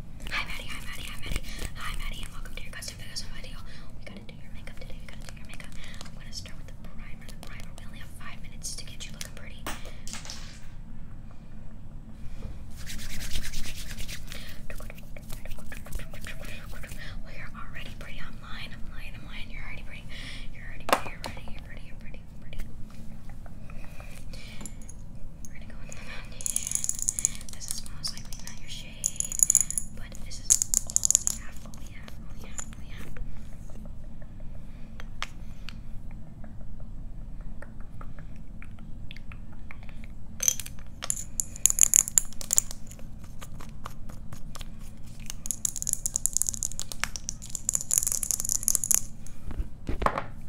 Hi Maddie, hi Maddie, hi Maddie, hi Maddie, and welcome to your custom video. We gotta do your makeup today, we gotta do your makeup. I'm gonna start with the primer. The primer, we only have five minutes to get you looking pretty. Well, you're already pretty. I'm lying, I'm lying, I'm lying. You're already pretty. You're already pretty, you're pretty, you're pretty, you're pretty. We're gonna go with the foundation. This is most likely not your shade, but this is all we have, all we have, all we have, all we have.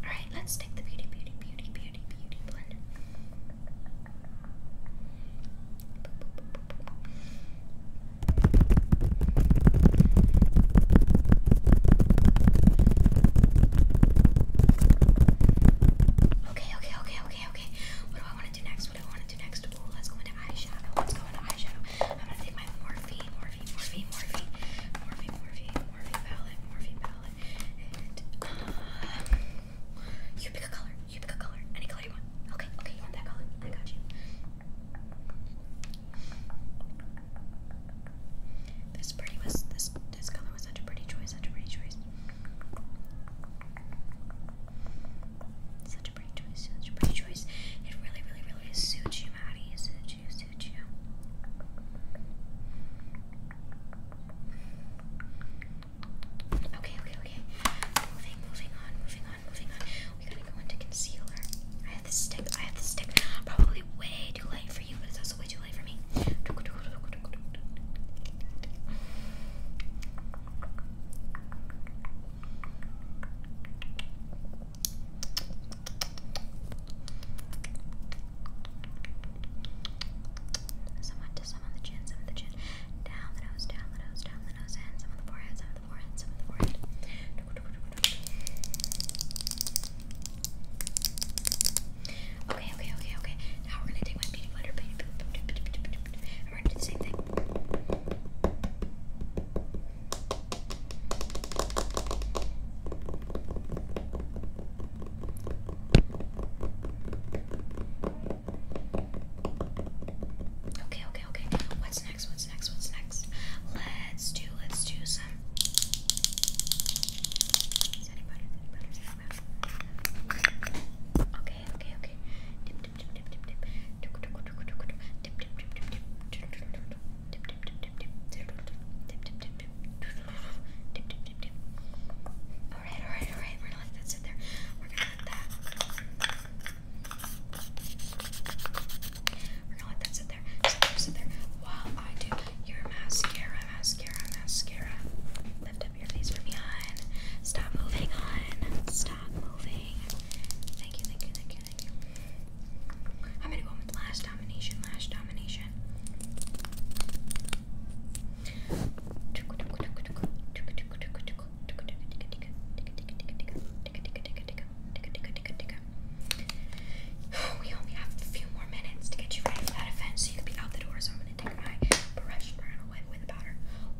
Alright, let's take the beauty, beauty, beauty, beauty, beauty blender. Okay, okay, okay, okay, okay. What do I want to do next? What do I want to do next? let's go into eyeshadow. Let's go into eyeshadow. I'm gonna take my Morphe, Morphe, Morphe, Morphe, Morphe, Morphe, Morphe, palette, Morphe palette, and uh, you pick a color, you pick a color, any color you want. Okay, okay, you want that color? I got you. This pretty was this this color was such a pretty choice, such a pretty choice. Such a pretty choice, such a pretty choice. It really, really, really suits you, Maddie. It suits Okay, okay, okay. Moving, moving on, moving on, moving on. We gotta go into concealer. I have this stick, I have this stick. Probably way too light for you, but it's also way too light for me. Someone to some on the chin, some on the chin. Down the nose, down the nose, down the nose, and some on the forehead, some on the forehead, some on the forehead. Okay, okay, okay, okay. Now we're gonna take my beauty blender, and we're gonna do the same thing. Okay, okay, okay. What's next? What's next? What's next? Let's do, let's do some. Okay, okay, okay. Dip, dip, dip, dip, dip, dip. Tip tip tip tip tip tip tip tip tip tip tip tip tip Dip, dip, dip, dip. All right, all right, all right. We're gonna let that sit there. We're gonna let that. We're gonna let that sit there. Sit there, sit there. While I do your mascara, mascara, mascara. Lift up your face from behind. Stop moving on. Stop moving. Thank you, thank you, thank I'm gonna go with last domination, last domination. We only have a few more minutes to get you ready for that event, so you can be out the door. So I'm gonna take my brush and run away with the powder.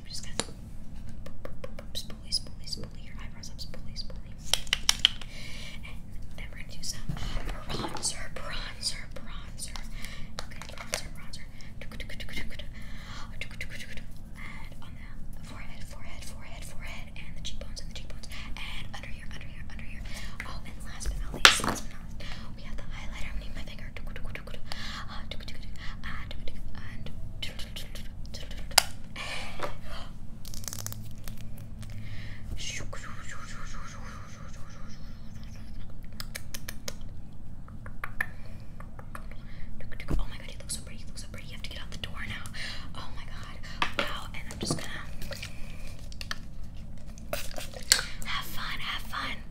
I'm just gonna spoolie, spoolie, spoolie your eyebrows up, spoolie, spoolie. And then we're gonna do some bronzer, bronzer, bronzer. Okay, bronzer, bronzer. And on the forehead, forehead, forehead, forehead, and the cheekbones, and the cheekbones, and under here, under here, under here. Oh, and last but not least, last but not least, we have the highlighter. I'm gonna need my finger. Uh, and Oh my god, he looks so pretty. He looks so pretty. You have to get out the door now. Oh my god. Wow, and I'm just gonna have fun, have fun.